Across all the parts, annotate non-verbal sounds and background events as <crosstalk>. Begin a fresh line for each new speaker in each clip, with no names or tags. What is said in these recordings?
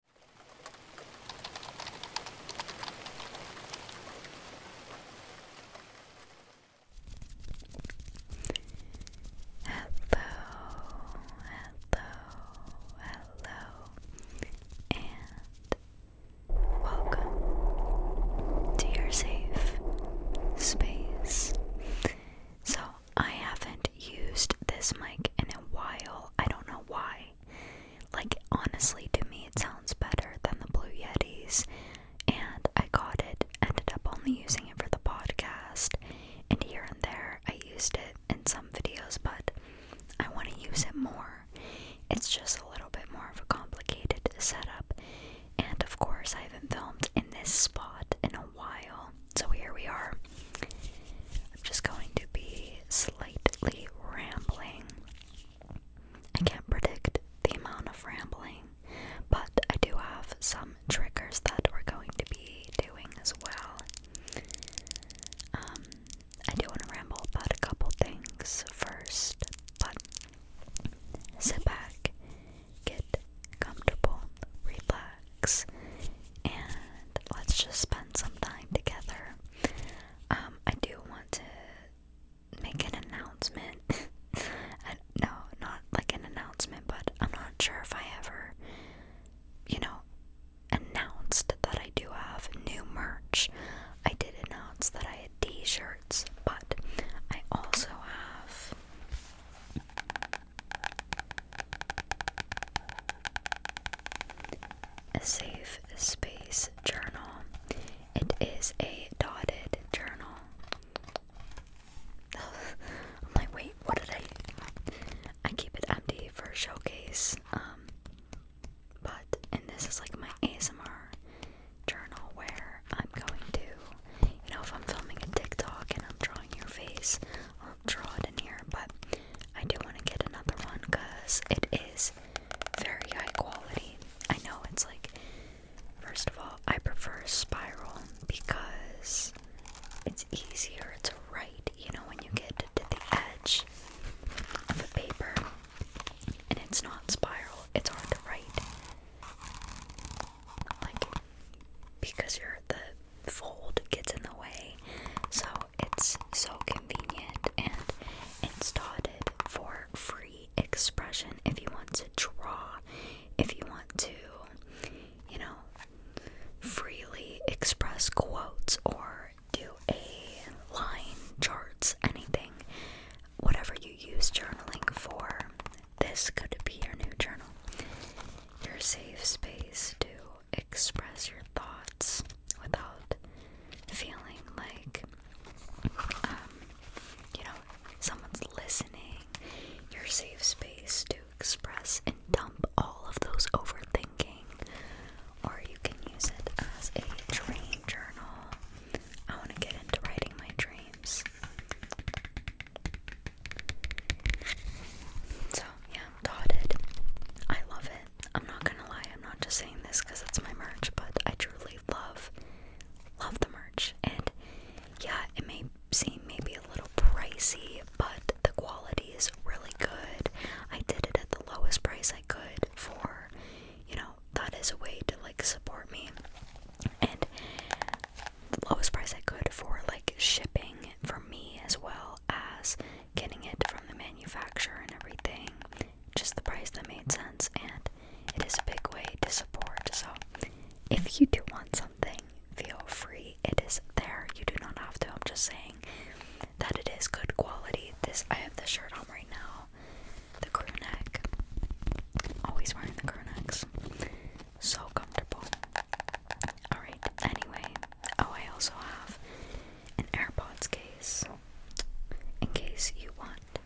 Hello, hello, hello, and welcome to your safe space. So, I haven't used this mic in a while. I don't know why. Like, honestly, to me, it sounds better than the Blue Yetis, and I got it, ended up only using it for the podcast, and here and there I used it in some videos, but I want to use it more. It's just a little bit more of a complicated setup, and of course, I haven't filmed in this spot in a while, so here we are. I'm just going to be slightly rambling. I can't predict the amount of rambling, but I do have some triggers that we're going to be doing as well. Um, I do want to ramble about a couple things first, but sit back, get comfortable, relax, and let's just spend some time together. Um, I do want to make an announcement. <laughs> no, not like an announcement, but I'm not sure if I ever, you know, announced that I do have new merch. I did announce that I had t shirts, but I also have. A safe space journal. It is a dotted journal. <laughs> I'm wait, what did I? I keep it empty for showcase. Um, but and this is like my ASMR journal where I'm going to, you know, if I'm filming a TikTok and I'm drawing your face, draw it in here, but I do want to get another one because it is very high quality. I know it's like, first of all, I prefer spiral because it's easier to write, you know, when you get to the edge of a paper and it's not spiral, it's hard to write. Like, because your the fold gets in the way so it's so convenient and it's started for free expression if you want to draw, if you want to, you know, freely express quotes or do a line, charts, anything. Whatever you use journaling for, this could be your new journal. Your safe space to express your thoughts without feeling like um, you know someone's listening. Your safe space to express and dump all of those overthinking, or you can use it as a dream journal. I want to get into writing my dreams. So, yeah, dotted. I love it. I'm not gonna lie, I'm not just saying this because it's my merch, but I truly love, love the merch. And yeah, it may seem maybe a little pricey, but the quality is really good. I did it at the lowest price I could for, you know, that is a way to like support me. And the lowest price I could for like shipping for me as well as getting it from the manufacturer and everything. Just the price that made sense, and it is a big way to support. So, if you do want something, feel free. It is there. You do not have to. I'm just saying that it is good quality. This I have the shirt on right now. The crew neck. Always wearing the crew necks. So comfortable. Alright, anyway. Oh, I also have an AirPods case in case you want.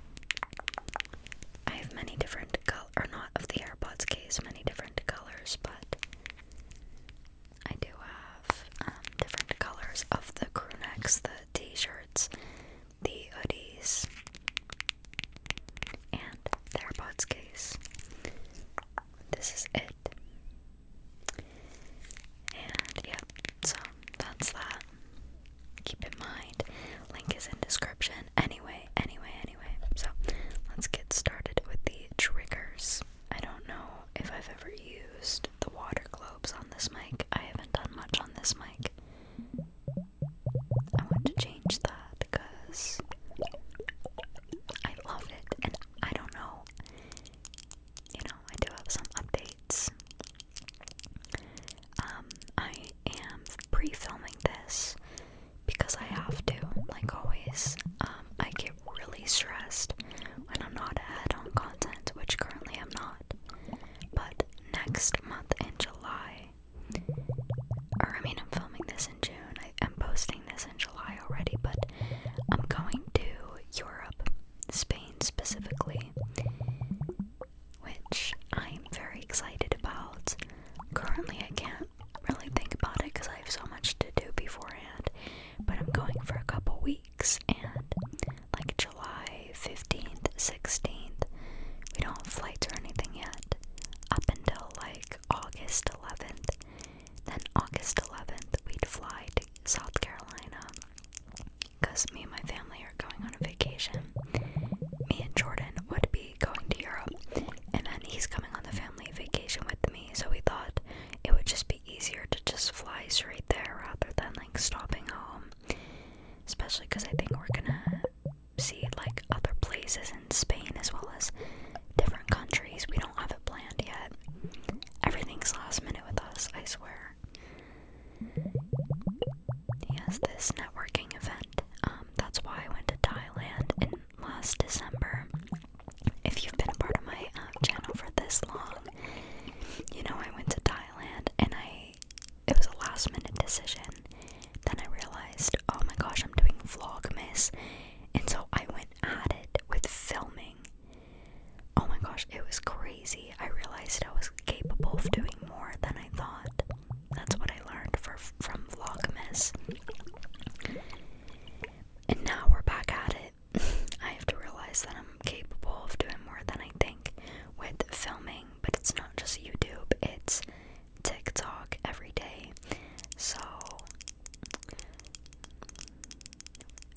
I have many different color not of the AirPods case, many different colors, but I do have um, different colors of the crew necks, the t-shirts, the hoodies, and the AirPods case. This is it. And yeah, so that's that. Keep in mind, link is in description. Anyway, anyway, anyway. So let's get started with the triggers. I don't know if I've ever used the water globes on this mic. I haven't done much on this mic. I want to change that because I love it and I don't know. You know, I do have some updates. Um, I am pre-filming this because I have to, like always. Um, I get really stressed when I'm not ahead on content, which currently I'm not. But next month in July, or I mean, I'm filming this in June. I'm posting this in July already, but I'm going to Europe Spain specifically, which I'm very excited about. Currently, I can't really think about it because I have so much to do beforehand, but I'm going for a couple weeks and like July 15th, 16th. We don't have flights or anything yet up until like August 11th. Then, August 11th, we'd fly to South Carolina because me and my family are going on a vacation. Me and Jordan would be going to Europe, and then he's coming on the family vacation with me, so we thought it would just be easier to just fly straight there rather than like stopping home, especially because I think we're gonna see like other places in Spain as well as different countries. We don't have a plan yet. Everything's last minute with us, I swear. He has this networking event. Um, that's why I went to Thailand in last December. If you've been a part of my uh, channel for this long, you know I went to Thailand and I it was a last minute decision. Then I realized, oh my gosh, I'm doing vlogmas. And so I went at it with filming Oh my gosh, it was crazy. I realized I was capable of doing more than I thought. That's what I learned for, from Vlogmas. And now we're back at it. <laughs> I have to realize that I'm capable of doing more than I think with filming, but it's not just YouTube, it's TikTok every day. So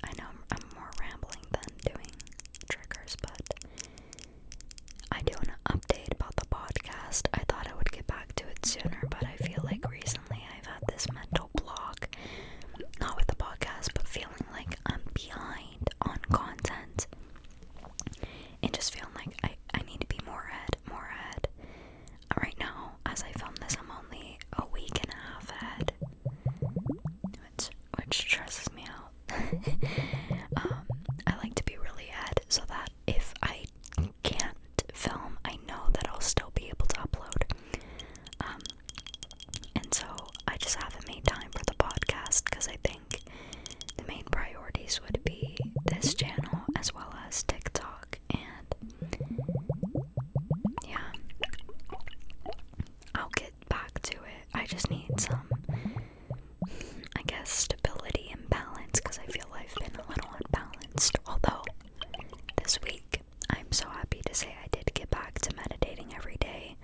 I know I'm, more rambling than doing triggers, but I do an update about the podcast. I thought I would get back to it sooner, but I feel like recently I've had this mental block. Not with the podcast, but feeling like I'm behind on content. And just feeling like I, I need to be more ahead, more ahead. Right now, as I film this, I'm only a week and a half ahead which stresses me out. <laughs> Um, I like to be really ahead so that if I can't film, I know that I'll still be able to upload. Um, and so I just haven't made time for the podcast because I think the main priorities would be this channel as well as TikTok and yeah. I'll get back to it. I just need some, I guess, stability and balance because I feel I've been a little unbalanced. Although, this week, I'm so happy to say I did get back to meditating every day,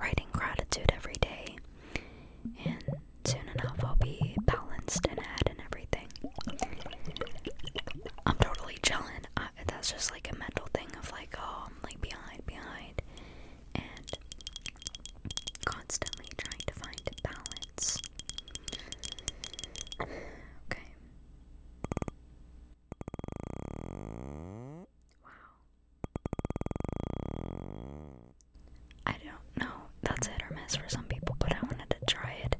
writing gratitude every day, and soon enough I'll be balanced and ahead and everything. I'm totally chilling that's just like a mental thing of like oh like behind behind and constantly trying to find balance. Okay. Wow. I don't know. That's hit or miss for some people, but I wanted to try it.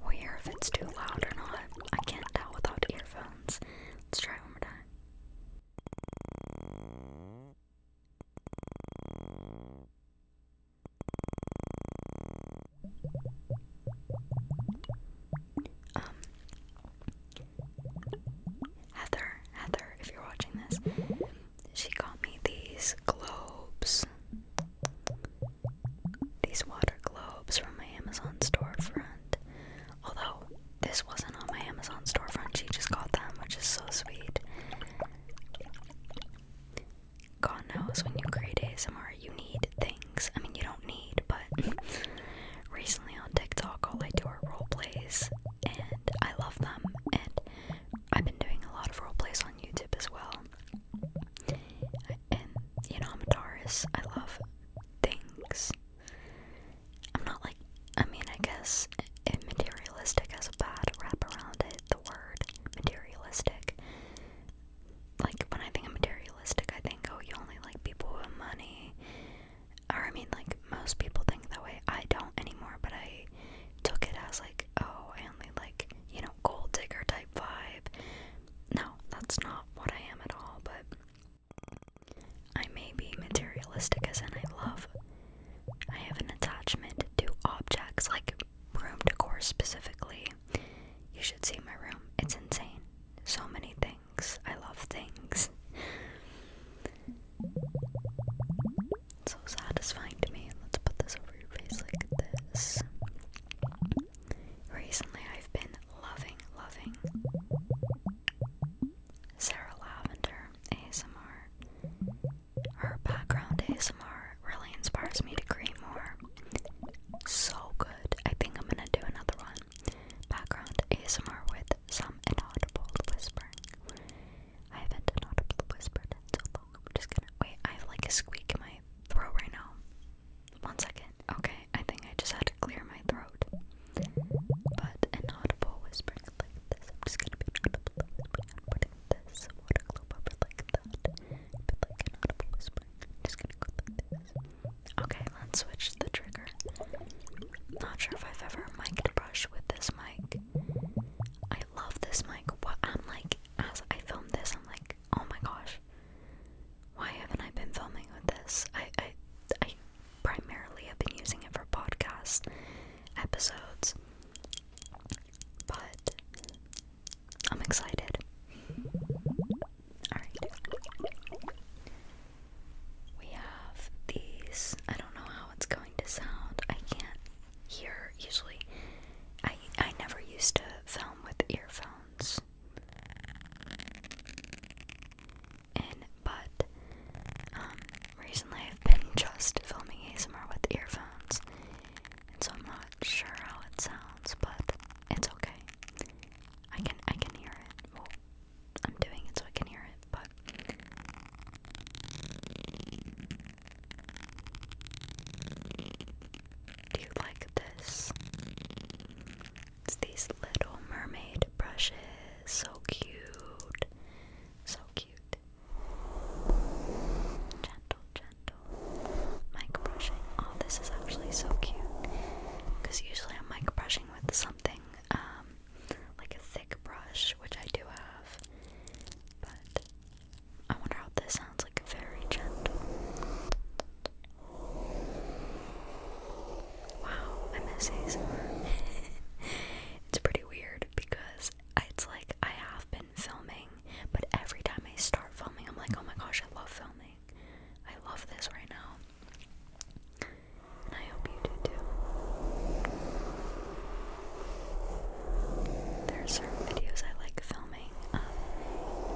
We'll hear if it's too loud or not. I can't tell without earphones. Let's try it one more time. Um, Heather, Heather, if you're watching this, she got me these globes, these water globes from my Amazon storefront. Although this wasn't on my Amazon storefront, she just got them, which is so sweet. God knows when you create ASMR, you need things. I mean, you don't need, but <laughs> recently on TikTok, all I do are role plays, and I love them. And I've been doing a lot of role plays on YouTube as well. And you know, I'm a Taurus. I love things. I'm not like, I mean, I guess materialistic has a bad wrap around it, the word materialistic. Like, when I think of materialistic, I think, oh, you only like people with money. Or, I mean, like, most people think that way. I don't anymore, but I took it as, like, oh, I only like, you know, gold digger type vibe. No, that's not what I am at all, but I may be materialistic as in I love. I have an attachment to objects like room decor specifically. You should see my room. It's insane. So many things. I love things. So satisfying to me. Let's put this over your face like this. Recently, I've been loving, loving Sarah Lavender ASMR. Her background ASMR really inspires me to create more. So good. I think I'm gonna do another one. Background ASMR with some inaudible whispering. I haven't inaudible whispered just going wait. I have like a squeak in my throat right now. One second. Okay, I think I just had to clear my throat. But an audible whispering like this. I'm just gonna be an audible whispering. I'm putting this water globe over like that. But like an audible whispering. I'm just gonna go like this. Okay, let's switch the trigger. Not sure if I've ever mic'd brush with this mic. I love this mic. What I'm like, as I filmed this, I'm like, oh my gosh. Why haven't I been filming with this? I I I primarily have been using it for podcast episodes. But I'm excited. Alright. We have these. I don't know how it's going to sound. I can't hear usually. I I never used to film with earphones but um, recently I've been <laughs> just filming ASMR with earphones, so I'm not sure how it sounds, but it's okay. I can I can hear it. I'm doing it so I can hear it, but. Do you like this? It's these little mermaid brushes. So cute. So cute. Gentle, gentle. Mic brushing. Oh, this is actually so cute. Because usually I'm mic brushing with something um, like a thick brush, which I do have. But I wonder how this sounds like very gentle. Wow, I <laughs> it's pretty weird because it's like I have been filming, but every time I start filming, I'm like, oh my gosh, I love filming. I love this right now. I hope you do too. There are certain videos I like filming. Um,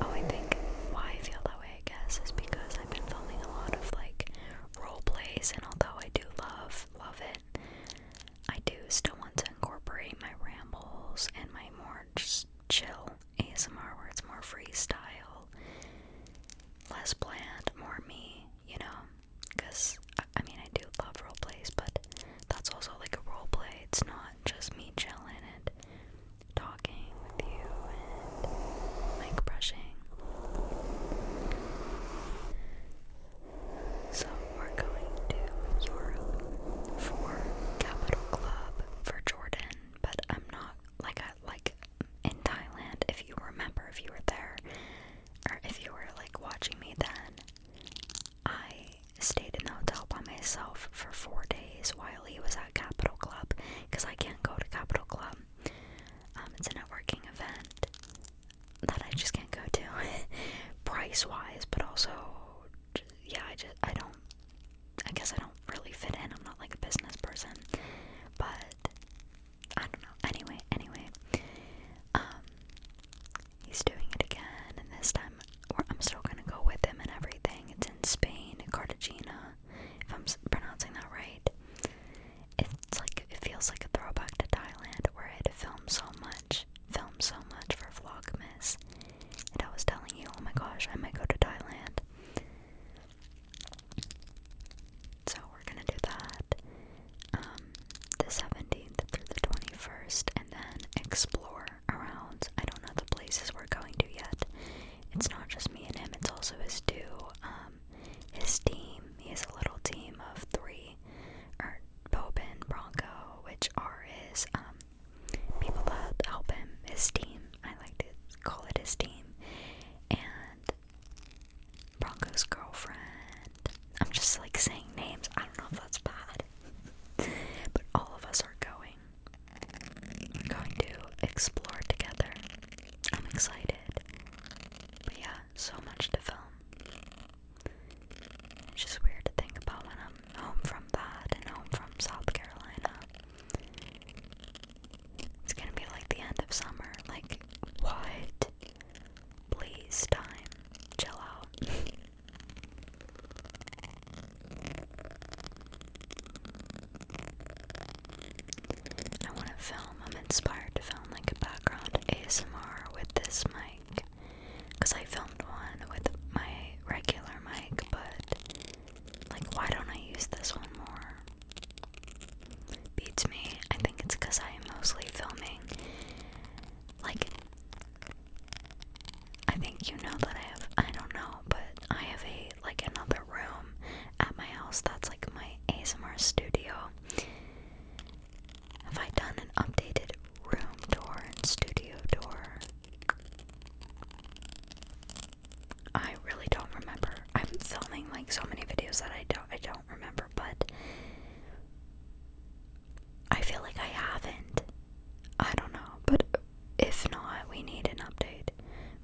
oh, I think why I feel that way I guess, is because I've been filming a lot of like role plays, and although I do love love it, I do still want to incorporate my rambles and my more just chill ASMR, where it's more freestyle, less planned, more me, you know. Because I, mean, I do love role plays, but that's also like a role play. It's not just me chilling it talking with you and mic brushing. So we're going to Europe for Capital Club for Jordan, but I'm not like I like in Thailand. If you remember, if you were there, or if you were like watching me then, I stayed in the hotel by myself for four days while he was at Capital Club because I can't go to Capital Club um, um, it's a networking event that I just can't go to, <laughs> price wise, but also, yeah, I just I don't. I guess I don't really fit in. I'm not like a business person, but I don't know. Anyway, anyway, um, he's doing it again, and this time I'm still gonna go with him and everything. It's in Spain, Cartagena if I'm pronouncing that right. It's like it feels like a throwback to Thailand, where I had to film so much, film so much for Vlogmas, and I was telling you, oh my gosh, I might go to Thailand. So we're gonna do that, um, the seventeenth through the twenty-first, and then explore around. I don't know the places we're going to yet. It's not just me and him; it's also his two um, um, his team. He has a little team of three, or Bobin Bronco, which are his um, people that help him. His team. I like to call it his team. And Bronco's girlfriend. I'm just like saying names. I don't know if that's bad. <laughs> but all of us are going. We're going to explore together. I'm excited. But yeah, so much to film. It's just weird to think about when I'm home from that and am from South Carolina. It's gonna be like the end of summer. Like, what? Please, time. Chill out. <laughs> I want to film. I'm inspired to film like a background ASMR with this mic. Because I filmed one with my regular mic, but like, why don't I use this one more? Beats me. I think it's because I am mostly filming. Like, I think you know that I have, I don't know, but I have a, like, another room at my house. That's like my ASMR studio. Have I done an updated room tour and studio tour? I really don't remember. I'm filming like so many videos that I don't I don't remember, but I feel like I haven't. I don't know, but if not, we need an update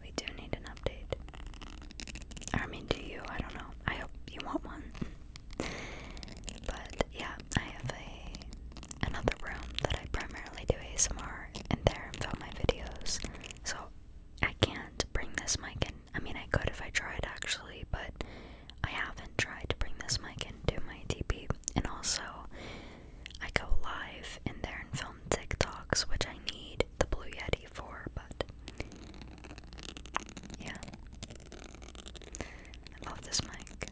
we do need an update. I mean, do you? I don't know. I hope you want one. but yeah, I have a another room that I primarily do ASMR in there and film my videos. So I can't bring this mic in. I mean, I could if I tried actually, but I haven't tried to bring this mic into my DP. And also, I go live in there and film TikToks, which I need the Blue Yeti for, but yeah. I love this mic.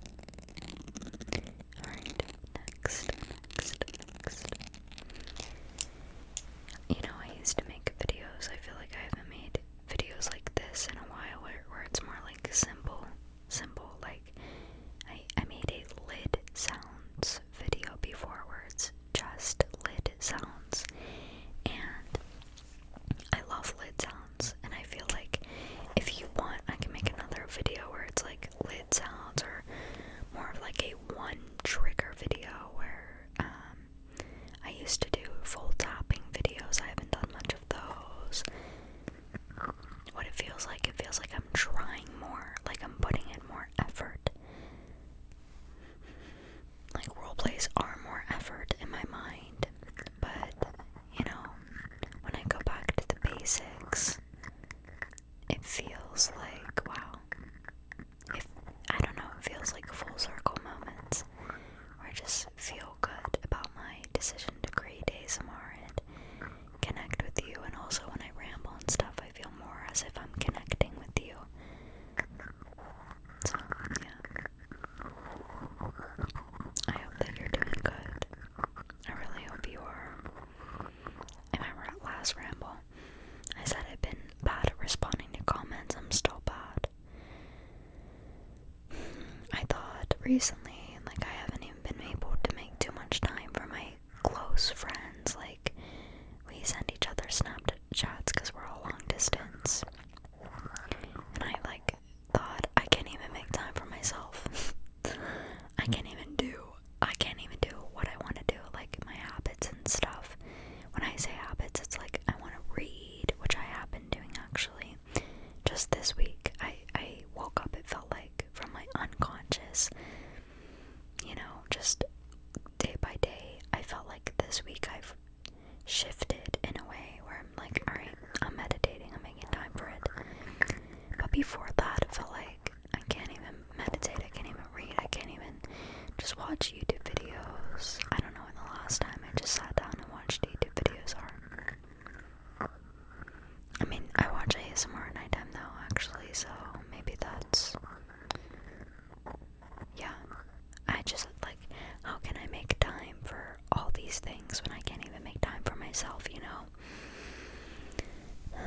Alright, next, next, next. You know, I used to make videos. I feel like I haven't made videos like this in a while where, where it's more like simple, simple. Like, I, I made a lid sounds video before words just lid sounds and I love lid sounds and I feel like if you want I can make another video where it's like lid sounds or more of like a one trigger video where um, I used to do full topping videos I haven't done much of those what it feels like it feels like I'm trying more like I'm putting in more effort like role plays are more effort in my mind, but you know, when I go back to the basics, it feels like wow. If I don't know, it feels like full circle moments or just feel good about my decision to create ASMR and connect with you, and also when I ramble and stuff, I feel more as if I'm connecting with you. yeah. I hope that you're doing good. I really hope you are. I remember last ramble, I said I've been bad at responding to comments. I'm still bad. I thought recently, like, I haven't even been able to make too much time for my close friends. Like, we send each other Snapchats because we're a long distance. And I, like, thought, I can't even make time for myself. <laughs> I can't even do, I can't even do what I want to do, like, my habits and stuff. When I say habits, it's like I want to read, which I have been doing actually. Just this week, I, I woke up, it felt like, from my unconscious you know, just day by day, I felt like this week I've shifted in a way where I'm like, alright, I'm meditating, I'm making time for it. But before that, I felt like I can't even meditate, I can't even read, I can't even just watch YouTube videos. I don't know when the last time I just sat down and watched YouTube videos are. I mean, I watch ASMR at nighttime now, actually, so maybe that's yeah, I just like, how can I make time for all these things when I can't even make time for myself, you know?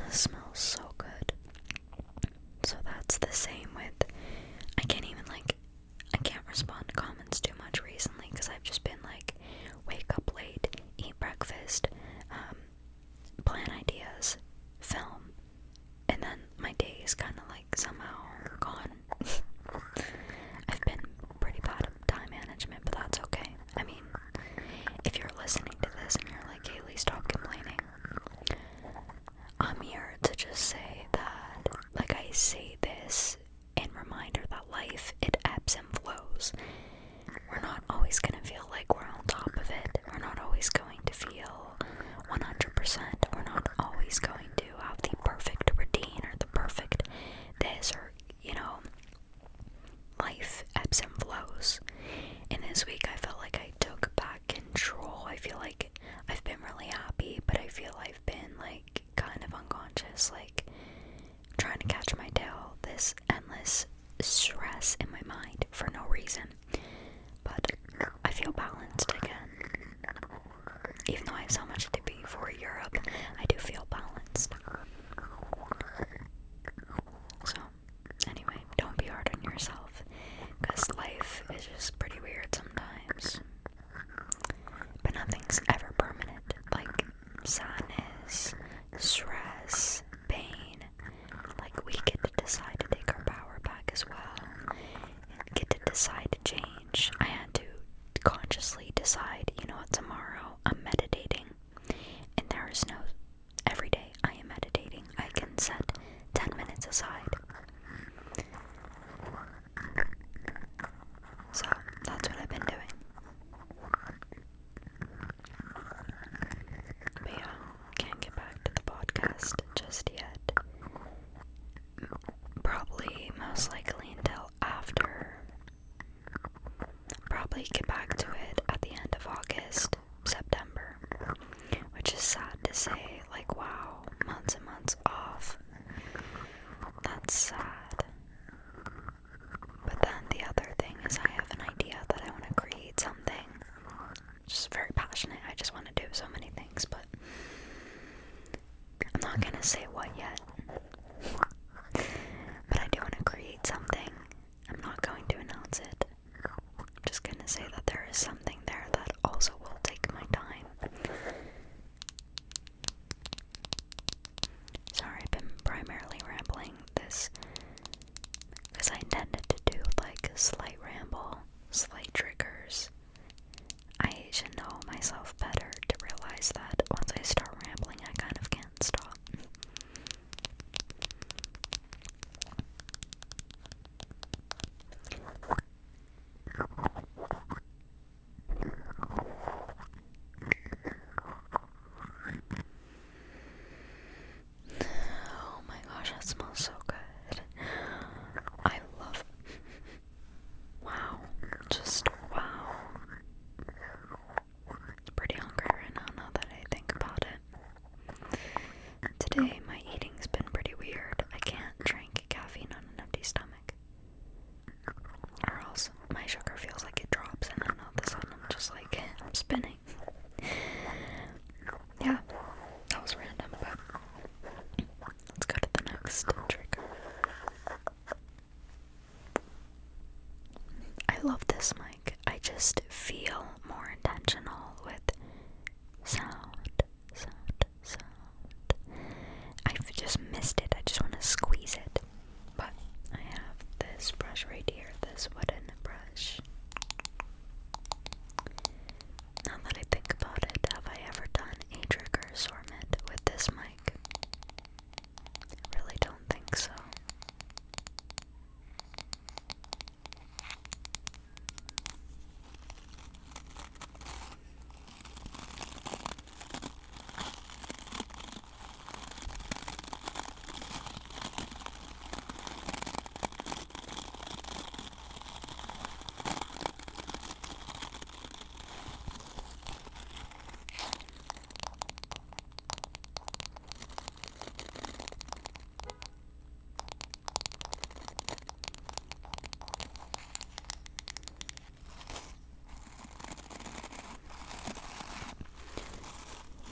It <sighs> smells so good. So that's the same with, I can't even like, I can't respond to comments too much recently because I've just been like, wake up late, eat breakfast, um, plan ideas, film, and then my day is kind of like somehow gone. <laughs> I've been pretty bad at time management, but that's okay. I mean, if you're listening to this and you're like, Haley, stop complaining, I'm here to just say that, like, I say this in reminder that life, it ebbs and flows. We're not always going to feel like we're on top of it. We're not always going to feel 100%. We're not always going to have the perfect routine or the perfect this or, you know, life ebbs and flows. In this week I felt like I took back control. I feel like I've been really happy, but I feel I've been like kind of unconscious, like trying to catch my tail. This endless stress in my mind for no reason. But I feel balanced again. Even though I have so much to be for Europe, I do feel balanced. So, anyway, don't be hard on yourself because life is just pretty weird sometimes. But nothing's ever permanent. Like sadness, stress, pain, like, we get to decide to take our power back as well, and get to decide to change. I had to consciously decide, you know what, tomorrow I'm meditating, and there is no every day I am meditating. I can set 10 minutes aside. So that's what I've been doing. yeah, can't get back to the podcast just yet. Probably, most likely, until after. Probably get back to it at the end of August, September, which is sad to say. Like, wow, months and months off. That's sad. But then the other thing is, I have an idea that I want to create something just very passionate. I just want to do so many things, but I'm not gonna say what yet. but I do want to create something. I'm not going to announce it. I'm just gonna say that there is something there that also will take my time. Sorry, I've been primarily rambling this because I intended to do like a slight ramble slight triggers. I should know myself better to realize that once I start rambling, I kind of can't stop. Oh my gosh, that smells so good. I love Wow. Just wow. Pretty hungry right now now that I think about it. Today my eating's been pretty weird. I can't drink caffeine on an empty stomach. Or else my sugar feels like it drops and then all of a I'm just like I'm spinning yeah, that was random, but let's go to the next trigger. I love this mic. I just feel more intentional with sound, sound, sound. I've just missed it. I just want to squeeze it. But I have this brush right here, this wooden brush. Now that I think about it, have I ever done a trigger assortment with this mic? really don't think so.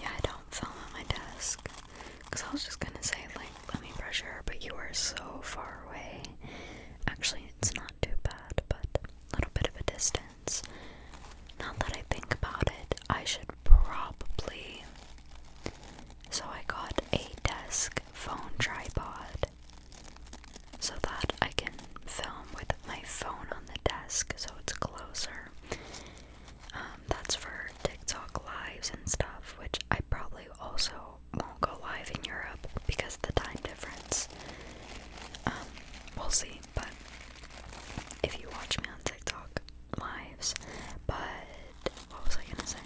Yeah, I don't film on my desk. Because I was just gonna say, like, let me brush her, but you are so far away. Actually, it's not too bad, but a little bit of a distance. Not that I think about it, I should probably. So I got a desk phone tripod so that I can film with my phone on the desk so it's closer. Um, um, that's for TikTok lives and stuff, which I probably also won't go live in Europe because of the time difference. Um, we'll see, but if you watch me on TikTok lives, but what was I gonna say?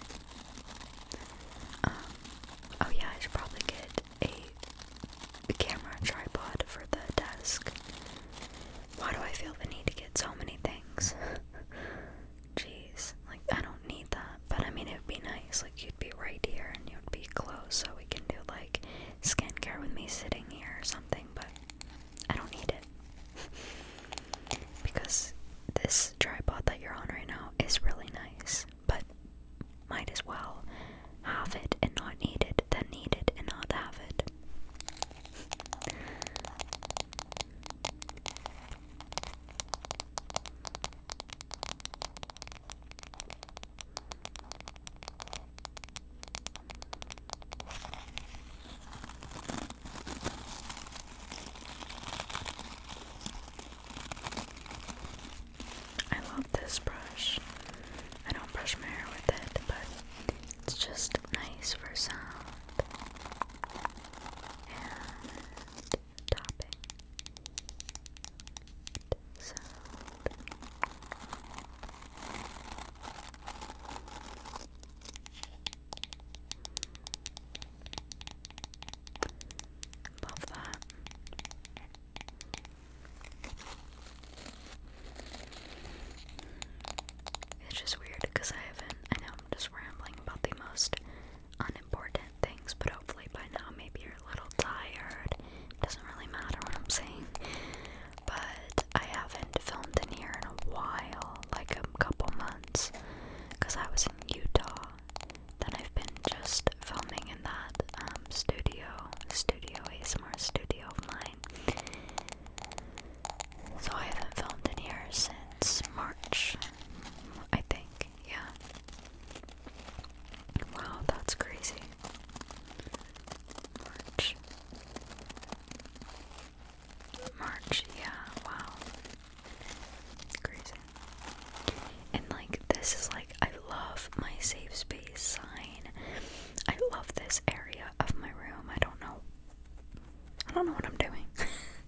Um, oh yeah, I should probably get a camera tripod for the desk. Why do I feel the need to get so many things? <laughs> Jeez, like I don't need that, but I mean, it would be nice. Like, you'd be right here and you'd be close, so we can do like skincare with me sitting here or something, but I don't need it <laughs> because this tripod that you're on right now is really nice, but might as well have it and not need it than need it and not have it. I love this brush. I don't brush my hair with it, but it's just nice for sound and topping sound. Love that. It's just weird because I haven't. I know I'm just rambling about the most unimportant things, but hopefully by now maybe you're a little tired. doesn't really matter what I'm saying. But I haven't filmed in here in a while, like a couple months, because I was in Utah. Then I've been just filming in that um, studio, studio ASMR studio of mine. So I haven't filmed in here since March, I think, yeah. Wow, that's crazy. March. March, yeah, wow. Crazy. And like, this is like, I love my safe space sign. I love this area of my room. I don't know. I don't know what I'm doing. <laughs>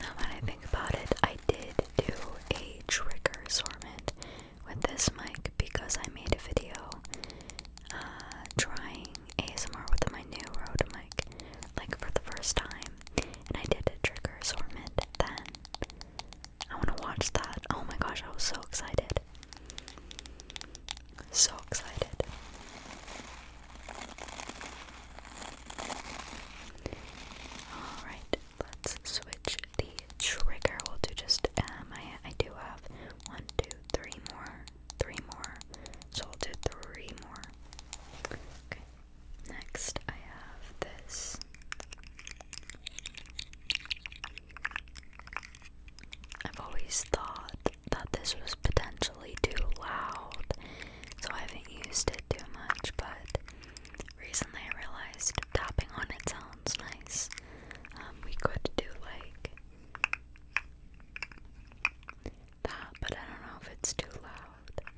Now that I think about it, I did do a trigger assortment with this mic because I made a video uh, trying ASMR with my new Rode mic, like for the first time, and I did a trigger assortment then. I want to watch that. Oh my gosh, I was so excited. So excited. Alright, let's switch the trigger. We'll do just, um, I, I do have one, two, three more, three more. So we'll do three more. Okay, Next, I have this. I've always thought that this was potentially too loud, so I haven't used it too much, but recently I realized tapping on it sounds nice. Um, we could do like that, but I don't know if it's too loud.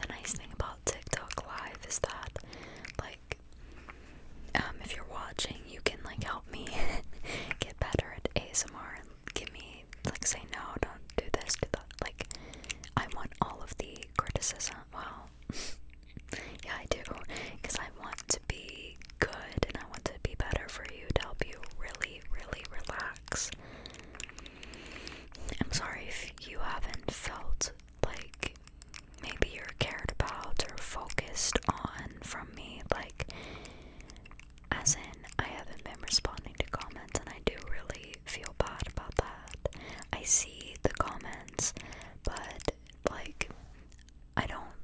The nice thing about TikTok Live is that, like, um, if you're watching, you can like help me <laughs> get better at ASMR and give me like say no, don't do this, do that. Like, I want all of the criticism. Well, <laughs> yeah, I do, because I want to be good and I want to be better for you to help you really, really relax. I'm sorry if you haven't felt like maybe you're cared about or focused on from me, like, as in, I haven't been responding to comments, and I do really feel bad about that. I see the comments, but, like, I don't,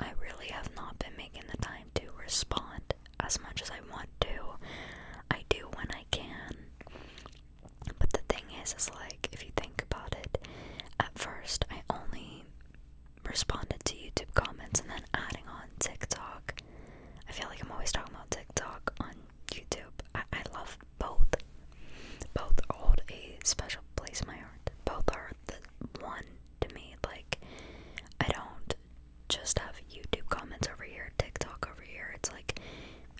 I really have not been making the time to respond as much as I want to. I do when I can. But the thing is, is like, if you think about it, at first I only responded to YouTube comments and then adding on TikTok. I feel like I'm always talking about TikTok on YouTube. I, I love both. Both hold a special place in my heart. Both are the one to me. Like, I don't just have YouTube comments over here, TikTok over here. It's like,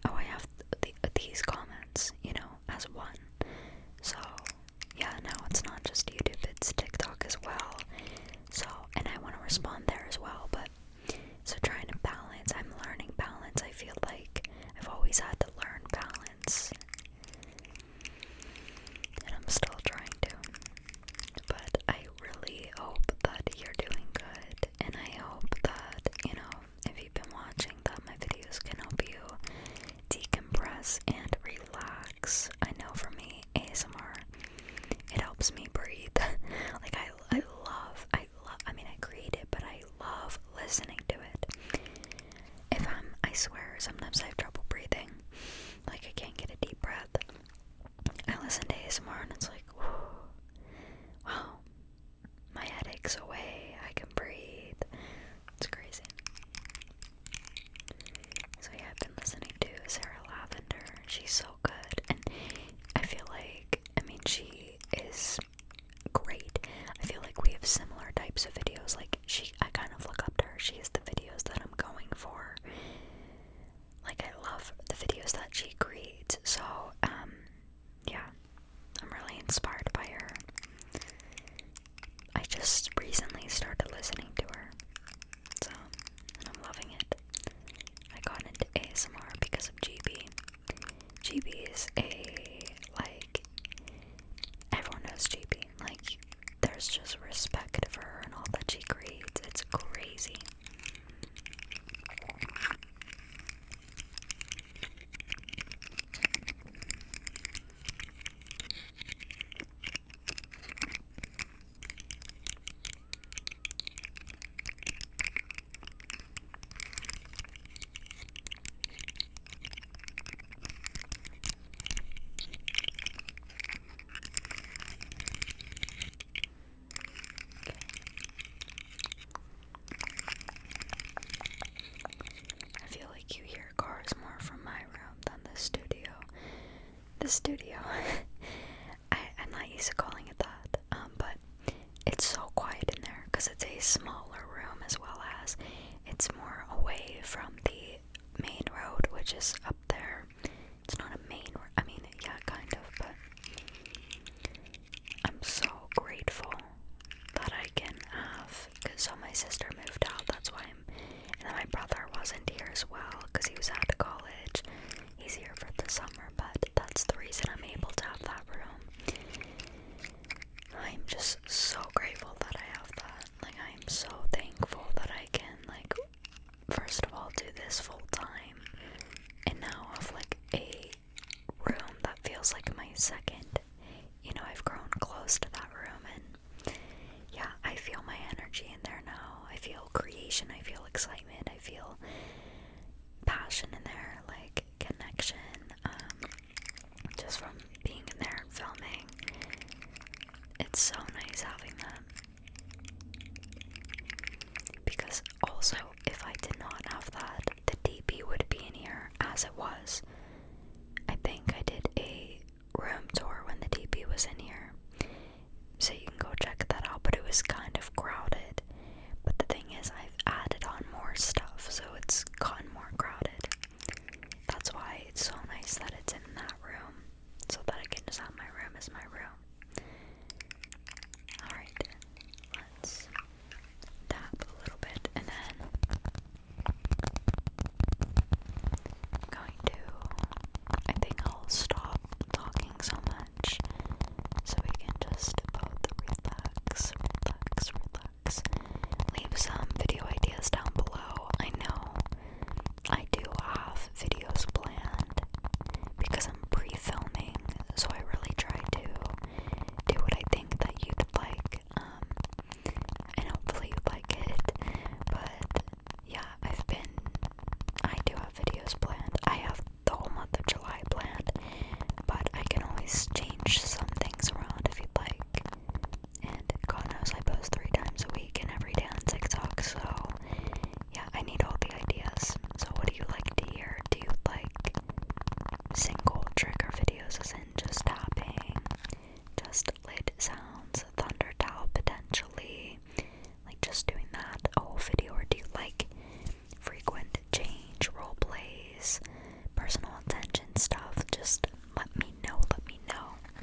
oh, I have these comments, you know, as one. So, yeah, no, it's not just YouTube, it's TikTok as well. So, and I want to respond there as well, but so trying to balance, I'm learning balance. I feel like I've always had to learn balance. And I'm still trying to. But I I really hope that you're doing good, and I hope that, you know, if you've been watching, that my videos can help you decompress and relax. I know for me, ASMR, it helps me breathe. <laughs> like, I, I love, I love, I mean, I create it, but I love listening to it. If I'm, I swear, sometimes I have trouble breathing. Like, I can't get a deep breath. I listen to ASMR and it's like, ooh, wow, my headache's away. I can breathe. It's crazy. So yeah, I've been listening to Sarah Lavender. She's so good, and I feel like, I mean, she is great. I feel like we have similar types of videos. Like she, I kind of look up to her. She has the videos that I'm going for like I love the videos that she creates. So, um, yeah. I'm really inspired by her. I just recently started listening to her. So, and I'm loving it. I got into ASMR because of GB. GB is a like everyone knows GB. Like there's just respect for her and all that she creates. It's crazy. I feel like you hear cars more from my room than the studio. The studio. <laughs> I, am not used to calling it that, um, but it's so quiet in there because it's a smaller room as well as it's more away from the main road, which is up there it's not a main word. I mean, yeah, kind of, but I'm so grateful that I can have. Cause so my sister moved out. That's why I'm. And then my brother wasn't here as well because he was out of college. He's here for the summer, but that's the reason I'm able to have that room. I'm just so grateful that I have that. Like I'm so thankful that I can like first of all do this full time and now I have like a room that feels like my second. You know, I've grown close to that room and yeah, I feel my energy in there now. I feel creation, I feel excitement, I feel passion in there, like connection, um, just from being in there and filming. It's so nice having that. Because also, if I did not have that, the DP would be in here as it was. I think I did a room tour when the DP was in here. So you can go check that out, but it was kind of crowded. But the thing is, I've added on more stuff, so it's gotten more crowded. That's why it's so nice that it's in that room so that I can just have my room as my room. Alright, let's tap a little bit and then I'm going to. I think I'll stop talking so much so we can just both relax, relax, relax. Leave some video ideas down below. I know I do have videos planned because I'm pre-filming, so I really try to do what I think that you'd like, um, and hopefully you like it. But yeah, I've been. I do have videos planned. I have the whole month of July planned, but I can always change some things around if you'd like. And God knows I post three times a week and every day on TikTok, so yeah, I need all the ideas. So, what do you like to hear? Do you like single trigger videos, as in just tapping, just lid sounds, thunder towel potentially, like just doing that a whole video? Or do you like frequent change, role plays, personal attention stuff? Just let me know, let me know.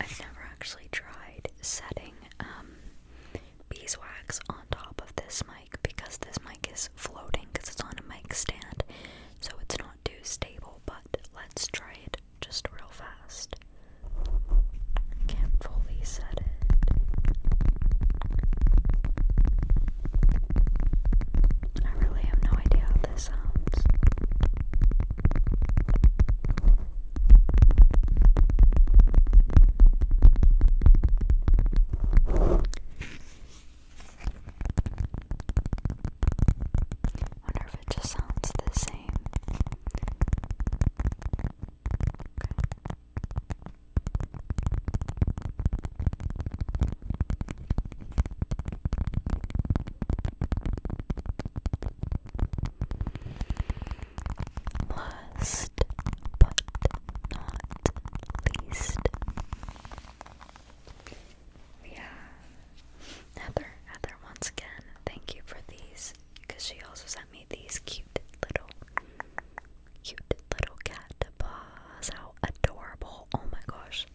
I've never actually tried setting um, beeswax on top of this, because this mic is floating because it's on a mic stand, so it's not too stable. But let's try it just real fast. Can't fully set it. I really have no idea how this sounds. Wonder if it just sounds the same. Okay. but not least. We Heather. Heather, once again, thank you for these because she also sent me these cute little, cute little cat paws. How adorable! Oh my gosh.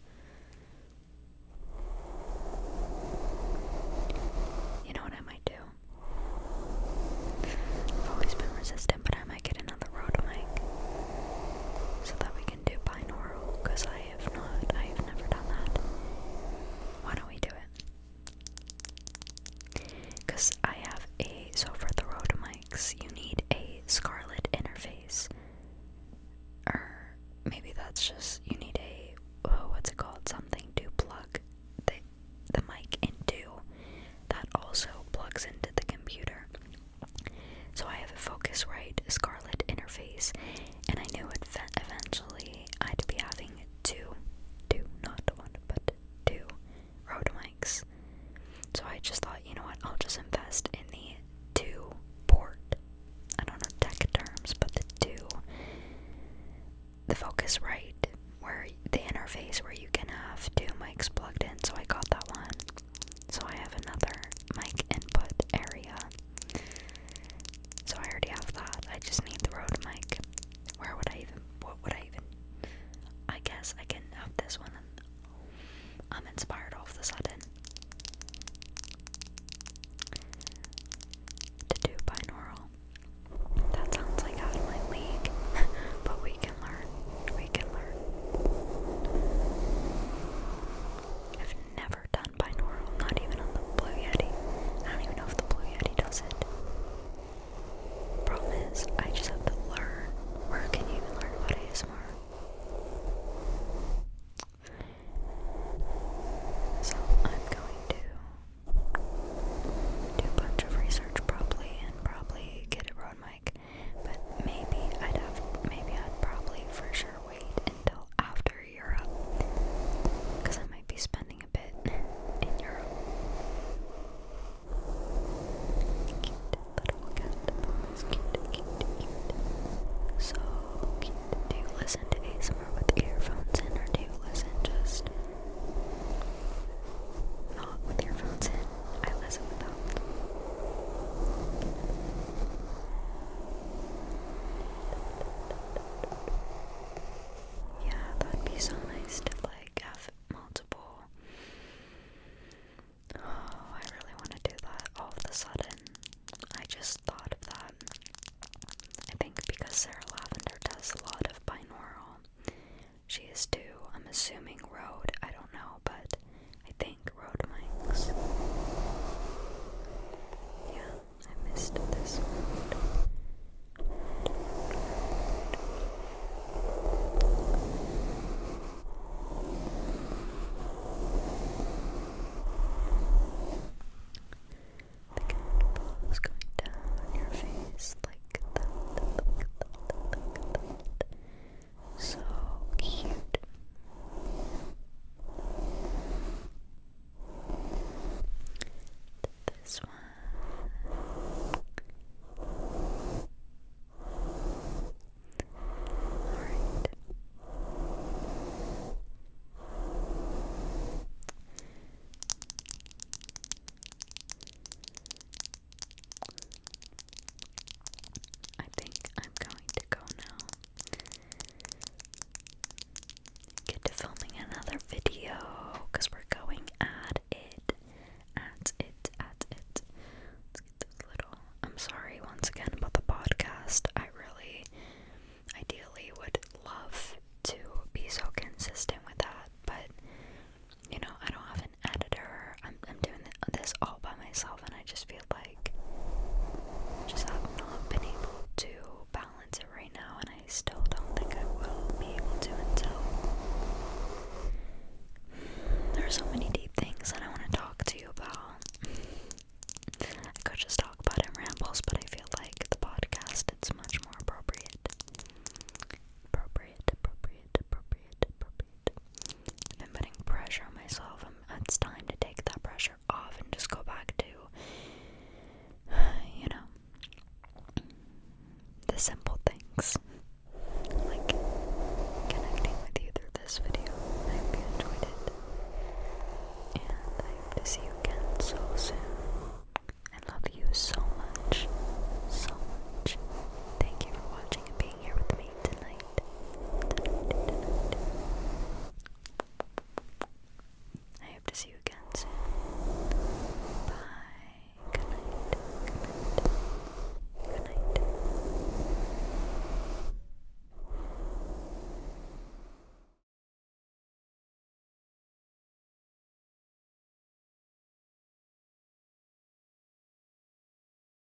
You know what I might do? I've always been resistant, but I might get another road mic so that we do binaural because I have not, I have never done that. Why don't we do it? Because I have a, so for the road mics, you need a scarlet interface. Or maybe that's just, you need a, oh, what's it called? Something to plug the, the mic into that also plugs into the computer. So I have a Focusrite Scarlett interface, and I knew eventually I'd be having two, two, not one, but two Rode mics. So I just thought, you know what, I'll just invest in the two port. I don't know tech terms, but the two, the Focusrite, where the interface where you can have two mics plugged in. So I got that one. So I have another mic input area. So I already have that. I just need the Rode mic. Where would I even what would I even I guess I can have this one I'm inspired all of a sudden to do binaural. That sounds like out of my <laughs> but we can learn. We can learn. I've never done binaural, not even on the Blue Yeti. I don't even know if the Blue Yeti does it. Problem is, I just have to learn. Where can you even learn about ASMR? So I'm going to do a bunch of research probably and probably get it on my but maybe I'd have maybe I'd probably for sure wait until after Europe. Cause I might be spending a bit in Europe. So Do you listen to ASMR with earphones in or do you listen just not with earphones in? I Yeah, that'd be so nice to like have multiple. Oh, I really want to do that all of a sudden. I just thought of that. I think because Sarah Lavender does a lot of binaural. She is too, I'm assuming, road. I don't know, but I think mic, Yeah, I missed this one. The candle is down your face like that, like that, like that. So cute. This one. Alright. I think I'm going to go now. Get to filming another video because we're going at it. At it, at it. Let's get this little. I'm sorry once again about the podcast. I really, ideally, would love to be so consistent with that, but you know, I don't have editor. I'm, doing this all by myself, and I just feel like just have not been able to balance it right now, and I still don't think I will be able to until there are so many deep things that I want to talk to you about. I could just talk about it rambles, but I feel like the podcast it's much more appropriate. Appropriate, appropriate, appropriate. I'm putting pressure on myself. i it's time to take that pressure off and just go back to, <sighs> you know, the simple things. Like connecting with you through this video. I hope you enjoyed it. And I hope to see you again so soon. I love you so much. So much. Thank you for watching and being here with me tonight. I hope to see you again soon. Bye. Good night. Good night.